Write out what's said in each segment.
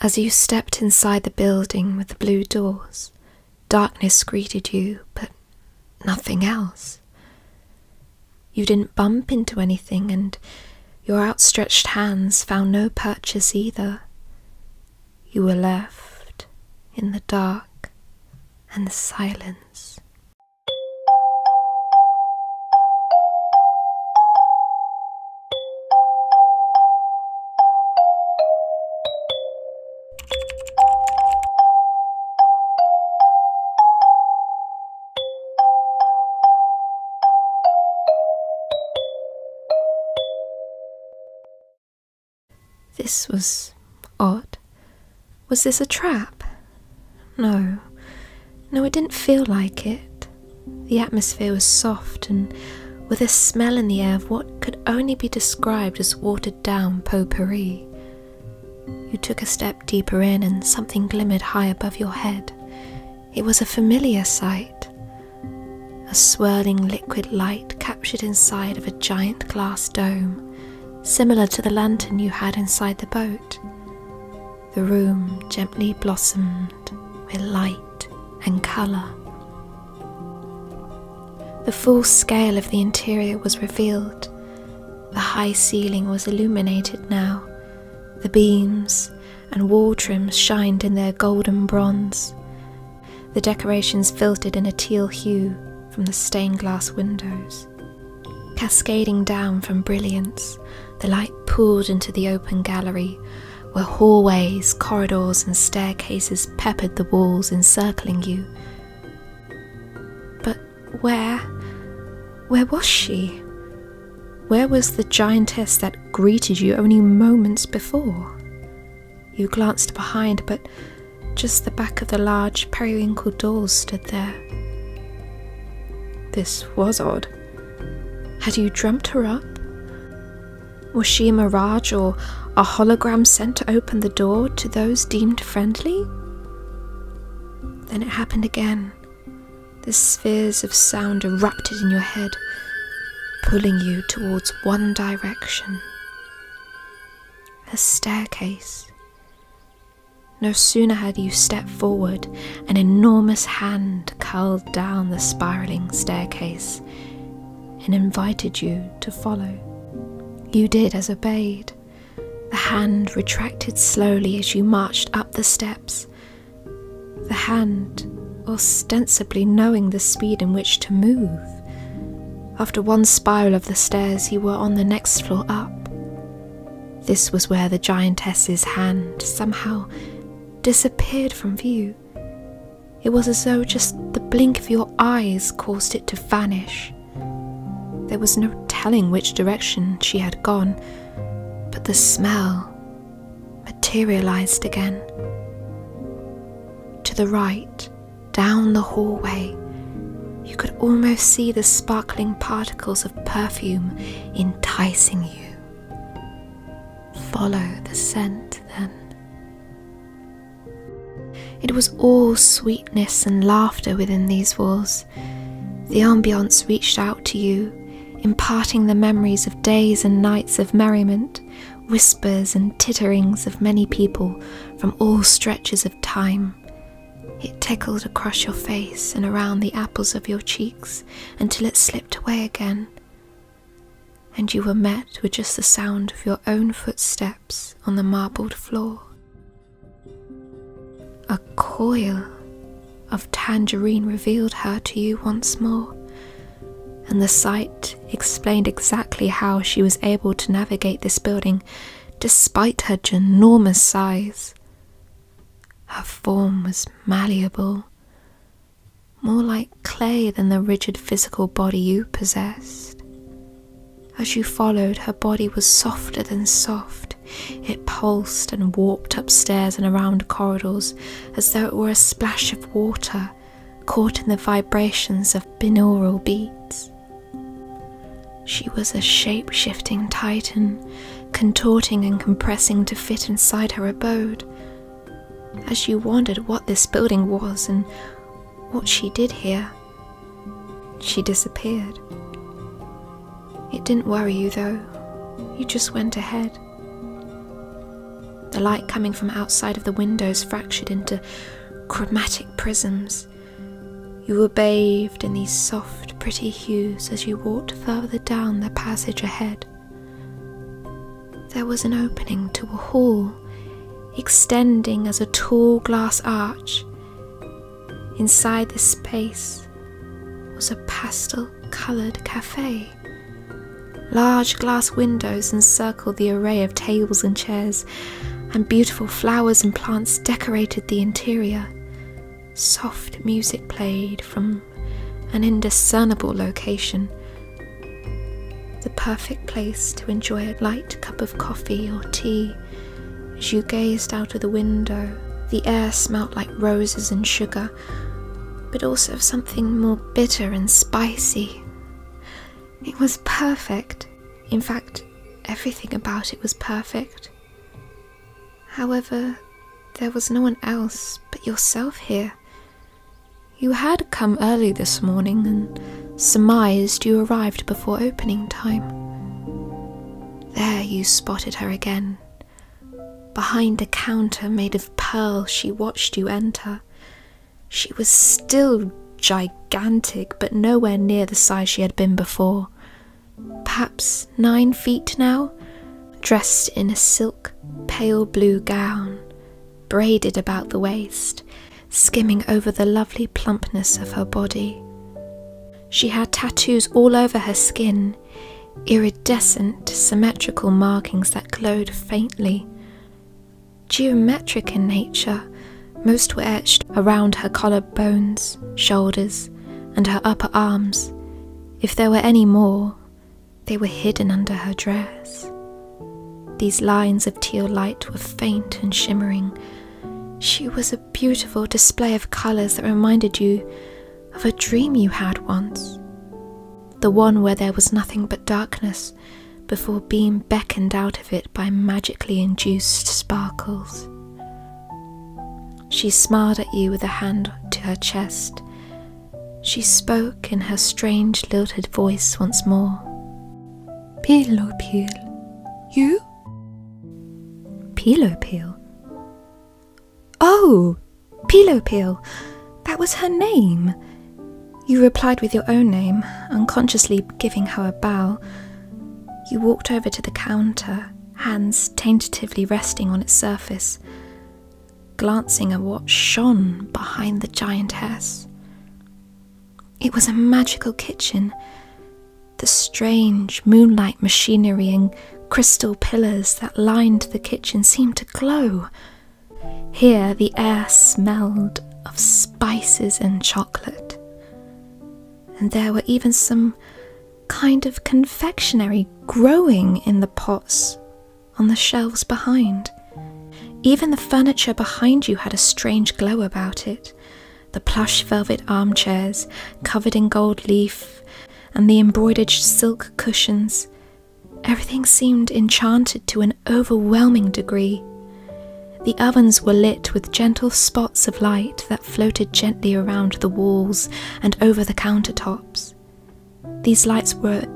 As you stepped inside the building with the blue doors, darkness greeted you, but nothing else. You didn't bump into anything, and your outstretched hands found no purchase either. You were left in the dark and the silence. This was odd. Was this a trap? No, no, it didn't feel like it. The atmosphere was soft and with a smell in the air of what could only be described as watered down potpourri. You took a step deeper in and something glimmered high above your head. It was a familiar sight. A swirling liquid light captured inside of a giant glass dome, similar to the lantern you had inside the boat. The room gently blossomed with light and colour. The full scale of the interior was revealed. The high ceiling was illuminated now. The beams and wall trims shined in their golden bronze. The decorations filtered in a teal hue from the stained glass windows. Cascading down from brilliance, the light poured into the open gallery, where hallways, corridors, and staircases peppered the walls encircling you. But where? Where was she? Where was the giantess that greeted you only moments before? You glanced behind, but just the back of the large periwinkle doors stood there, this was odd. Had you dreamt her up? Was she a mirage or a hologram sent to open the door to those deemed friendly? Then it happened again. The spheres of sound erupted in your head, pulling you towards one direction. A staircase, no sooner had you stepped forward, an enormous hand curled down the spiraling staircase and invited you to follow. You did as obeyed. The hand retracted slowly as you marched up the steps. The hand ostensibly knowing the speed in which to move. After one spiral of the stairs, you were on the next floor up. This was where the giantess's hand somehow disappeared from view. It was as though just the blink of your eyes caused it to vanish. There was no telling which direction she had gone, but the smell materialized again. To the right, down the hallway, you could almost see the sparkling particles of perfume enticing you. Follow the scent then. It was all sweetness and laughter within these walls. The ambience reached out to you, imparting the memories of days and nights of merriment, whispers and titterings of many people from all stretches of time, it tickled across your face and around the apples of your cheeks until it slipped away again, and you were met with just the sound of your own footsteps on the marbled floor. A coil of tangerine revealed her to you once more, and the sight explained exactly how she was able to navigate this building despite her ginormous size. Her form was malleable, more like clay than the rigid physical body you possessed. As you followed, her body was softer than soft. It pulsed and warped upstairs and around corridors as though it were a splash of water caught in the vibrations of binaural beats. She was a shape shifting titan, contorting and compressing to fit inside her abode. As you wondered what this building was and what she did here, she disappeared. It didn't worry you though, you just went ahead. The light coming from outside of the windows fractured into chromatic prisms, you were bathed in these soft, pretty hues as you walked further down the passage ahead. There was an opening to a hall, extending as a tall glass arch. Inside this space was a pastel coloured cafe. Large glass windows encircled the array of tables and chairs, and beautiful flowers and plants decorated the interior. Soft music played from an indiscernible location. The perfect place to enjoy a light cup of coffee or tea. As you gazed out of the window, the air smelt like roses and sugar, but also of something more bitter and spicy. It was perfect. In fact, everything about it was perfect. However, there was no one else but yourself here. You had come early this morning and surmised you arrived before opening time. There you spotted her again. Behind a counter made of pearl, she watched you enter. She was still gigantic, but nowhere near the size she had been before. Perhaps nine feet now, dressed in a silk, pale blue gown, braided about the waist, skimming over the lovely plumpness of her body. She had tattoos all over her skin, iridescent, symmetrical markings that glowed faintly geometric in nature. Most were etched around her collarbones, shoulders, and her upper arms. If there were any more, they were hidden under her dress. These lines of teal light were faint and shimmering. She was a beautiful display of colours that reminded you of a dream you had once. The one where there was nothing but darkness before being beckoned out of it by magically induced sparkles. She smiled at you with a hand to her chest. She spoke in her strange, lilted voice once more. Pilo Peel, you? Pilo Peel? Oh, Pilo Peel, that was her name. You replied with your own name, unconsciously giving her a bow. You walked over to the counter, hands tentatively resting on its surface, glancing at what shone behind the giantess. It was a magical kitchen. The strange moonlight machinery and crystal pillars that lined the kitchen seemed to glow, here the air smelled of spices and chocolate, and there were even some kind of confectionery growing in the pots on the shelves behind. Even the furniture behind you had a strange glow about it. The plush velvet armchairs covered in gold leaf, and the embroidered silk cushions Everything seemed enchanted to an overwhelming degree. The ovens were lit with gentle spots of light that floated gently around the walls and over the countertops. These lights were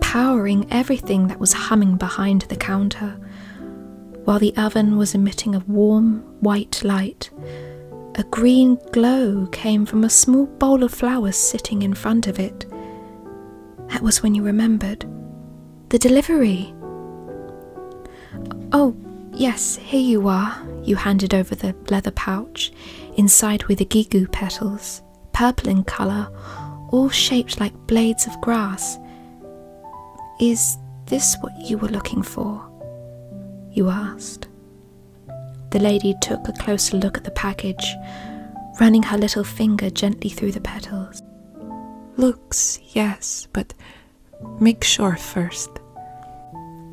powering everything that was humming behind the counter, while the oven was emitting a warm white light. A green glow came from a small bowl of flowers sitting in front of it. That was when you remembered. The delivery. Oh, yes, here you are. You handed over the leather pouch, inside were the gigu petals, purple in colour, all shaped like blades of grass. Is this what you were looking for? You asked. The lady took a closer look at the package running her little finger gently through the petals. Looks, yes, but make sure first.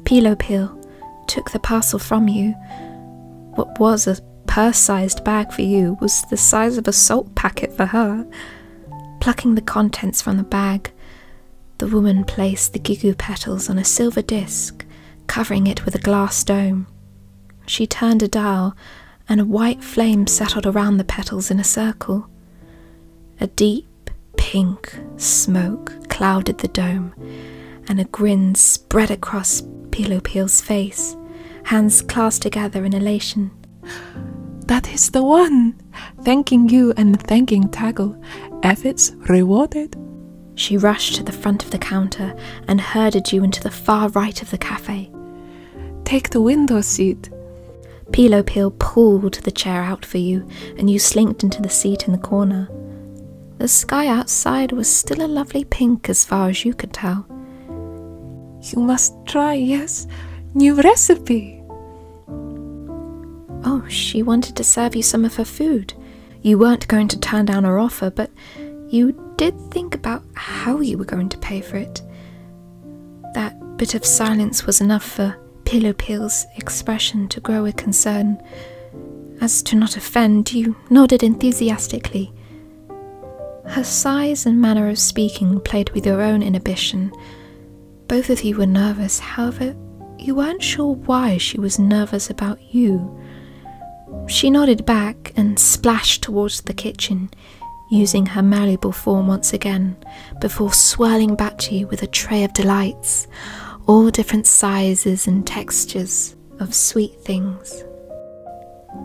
Pillow Pill took the parcel from you. What was a purse sized bag for you was the size of a salt packet for her. Plucking the contents from the bag, the woman placed the gigu petals on a silver disc, covering it with a glass dome. She turned a dial, and a white flame settled around the petals in a circle. A deep pink smoke clouded the dome, and a grin spread across Pilo Peel's face, hands clasped together in elation. That is the one! Thanking you and thanking Taggle. Efforts rewarded. She rushed to the front of the counter and herded you into the far right of the cafe. Take the window seat. Pilo Peel pulled the chair out for you, and you slinked into the seat in the corner. The sky outside was still a lovely pink as far as you could tell. You must try, yes? New recipe. Oh, she wanted to serve you some of her food. You weren't going to turn down our offer, but you did think about how you were going to pay for it. That bit of silence was enough for Pillow Pill's expression to grow with concern. As to not offend, you nodded enthusiastically. Her size and manner of speaking played with your own inhibition. Both of you were nervous, however, you weren't sure why she was nervous about you. She nodded back and splashed towards the kitchen, using her malleable form once again, before swirling back to you with a tray of delights, all different sizes and textures of sweet things.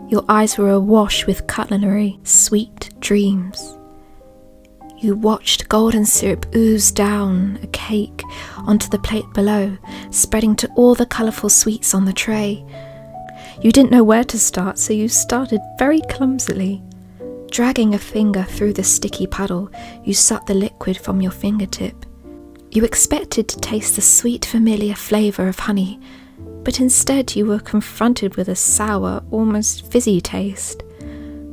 Your eyes were awash with cutlery, sweet dreams. You watched golden syrup ooze down a cake onto the plate below, spreading to all the colourful sweets on the tray. You didn't know where to start, so you started very clumsily. Dragging a finger through the sticky puddle, you sucked the liquid from your fingertip. You expected to taste the sweet, familiar flavour of honey, but instead you were confronted with a sour, almost fizzy taste.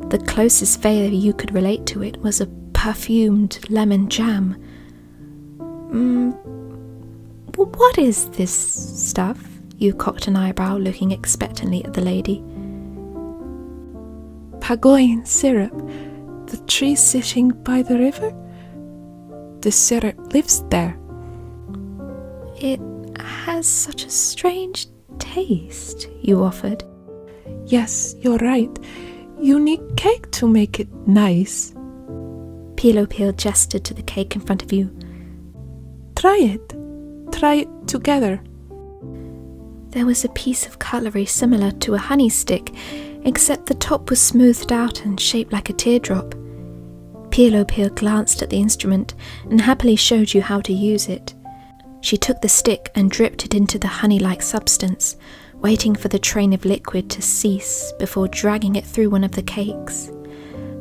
The closest flavour you could relate to it was a perfumed lemon jam. Mm, what is this stuff? You cocked an eyebrow, looking expectantly at the lady. Pagoin syrup, the tree sitting by the river? The syrup lives there. It has such a strange taste, you offered. Yes, you're right. You need cake to make it nice. Pilo Peel gestured to the cake in front of you. Try it. Try it together. There was a piece of cutlery similar to a honey stick, except the top was smoothed out and shaped like a teardrop. Pilo Peel glanced at the instrument and happily showed you how to use it. She took the stick and dripped it into the honey like substance, waiting for the train of liquid to cease before dragging it through one of the cakes,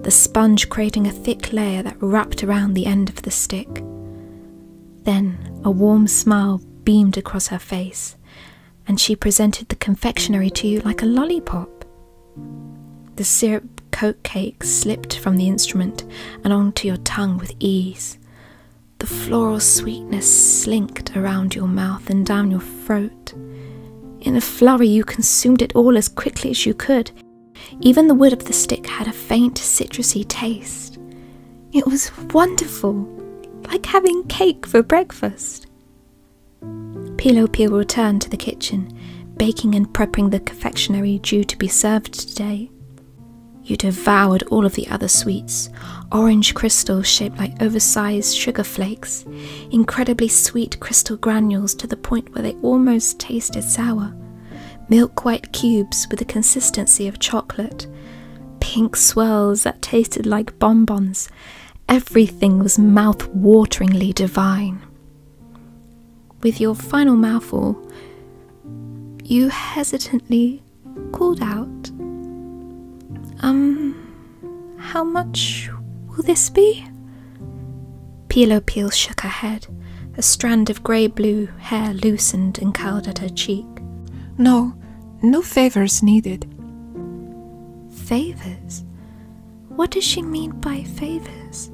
the sponge creating a thick layer that wrapped around the end of the stick. Then a warm smile beamed across her face, and she presented the confectionery to you like a lollipop. The syrup coated cake slipped from the instrument and onto your tongue with ease, the floral sweetness slinked around your mouth and down your throat. In a flurry, you consumed it all as quickly as you could. Even the wood of the stick had a faint citrusy taste. It was wonderful, like having cake for breakfast. Pilopil returned to the kitchen, baking and prepping the confectionery due to be served today. You devoured all of the other sweets orange crystals shaped like oversized sugar flakes, incredibly sweet crystal granules to the point where they almost tasted sour, milk white cubes with the consistency of chocolate, pink swirls that tasted like bonbons. Everything was mouthwateringly divine. With your final mouthful, you hesitantly called out, Um, how much will this be? Peelo Peel shook her head. A strand of grey blue hair loosened and curled at her cheek. No, no favours needed. Favours? What does she mean by favours?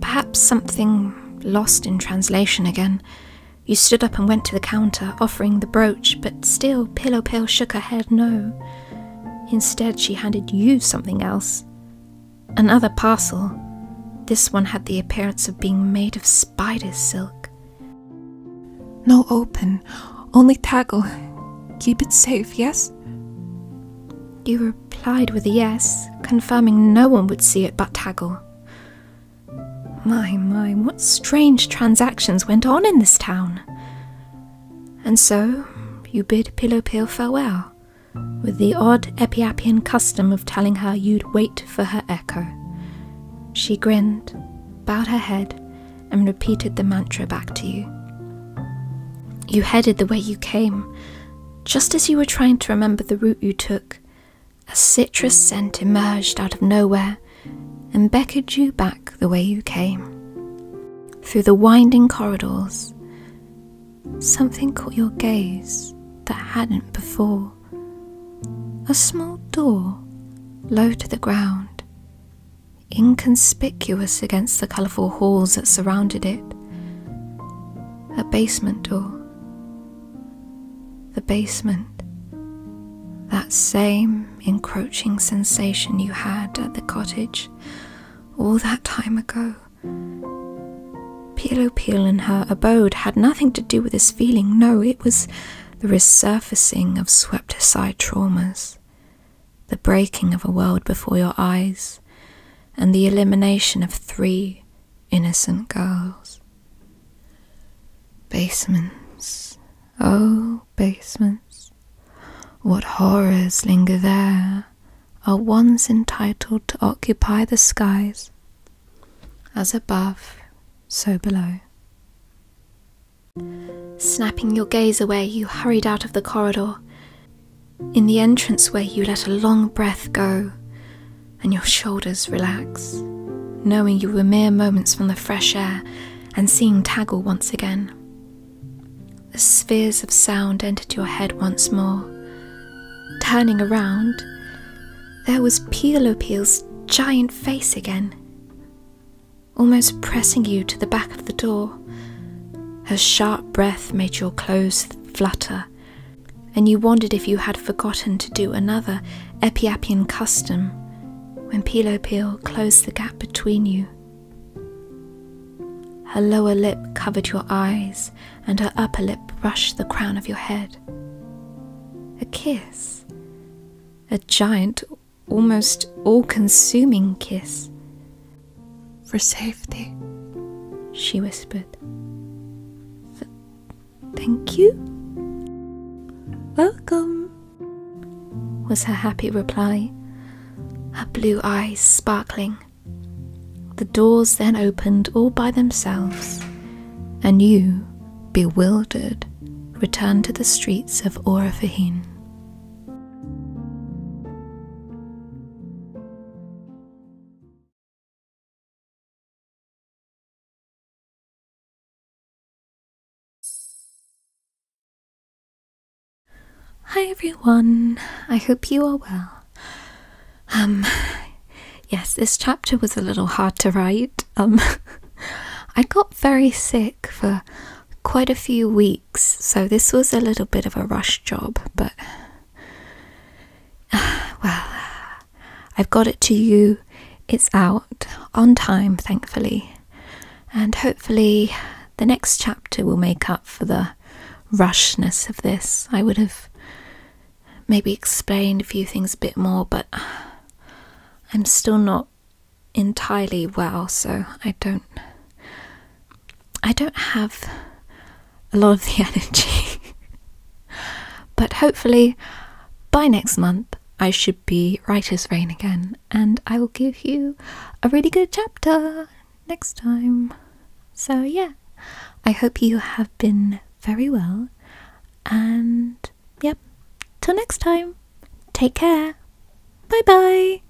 Perhaps something lost in translation again. You stood up and went to the counter, offering the brooch, but still Pillow Pill shook her head no. Instead, she handed you something else. Another parcel. This one had the appearance of being made of spider's silk. No open, only tackle. Keep it safe, yes? You replied with a yes, confirming no one would see it but Taggle. My, my, what strange transactions went on in this town! And so you bid Pilopil farewell, with the odd Epiapian custom of telling her you'd wait for her echo. She grinned, bowed her head, and repeated the mantra back to you. You headed the way you came, just as you were trying to remember the route you took, a citrus scent emerged out of nowhere and beckoned you back the way you came. Through the winding corridors, something caught your gaze that hadn't before. A small door, low to the ground, inconspicuous against the colourful halls that surrounded it. A basement door the basement, that same encroaching sensation you had at the cottage all that time ago. Pilo Peel in her abode had nothing to do with this feeling, no, it was the resurfacing of swept aside traumas, the breaking of a world before your eyes, and the elimination of three innocent girls. Basements, oh, basements, what horrors linger there are ones entitled to occupy the skies, as above, so below. Snapping your gaze away, you hurried out of the corridor. In the entranceway, you let a long breath go, and your shoulders relax, knowing you were mere moments from the fresh air and seeing Taggle once again. The spheres of sound entered your head once more. Turning around, there was Peelo Peel's giant face again, almost pressing you to the back of the door. Her sharp breath made your clothes flutter and you wondered if you had forgotten to do another Epiapian custom when Pelopil closed the gap between you. Her lower lip covered your eyes, and her upper lip brushed the crown of your head. A kiss, a giant, almost all consuming kiss for safety, she whispered. thank you? Welcome, was her happy reply, her blue eyes sparkling. The doors then opened all by themselves, and you, bewildered, returned to the streets of Orafahin. Hi everyone, I hope you are well. Um, yes, this chapter was a little hard to write. Um, I got very sick for quite a few weeks, so this was a little bit of a rush job, but Well, uh, I've got it to you. It's out on time, thankfully. And hopefully, the next chapter will make up for the rushness of this. I would have maybe explained a few things a bit more, but I'm still not entirely well, so I don't I don't have a lot of the energy. but hopefully, by next month, I should be Writer's Rain again, and I will give you a really good chapter next time. So, yeah, I hope you have been very well, and yep, till next time, take care. Bye bye.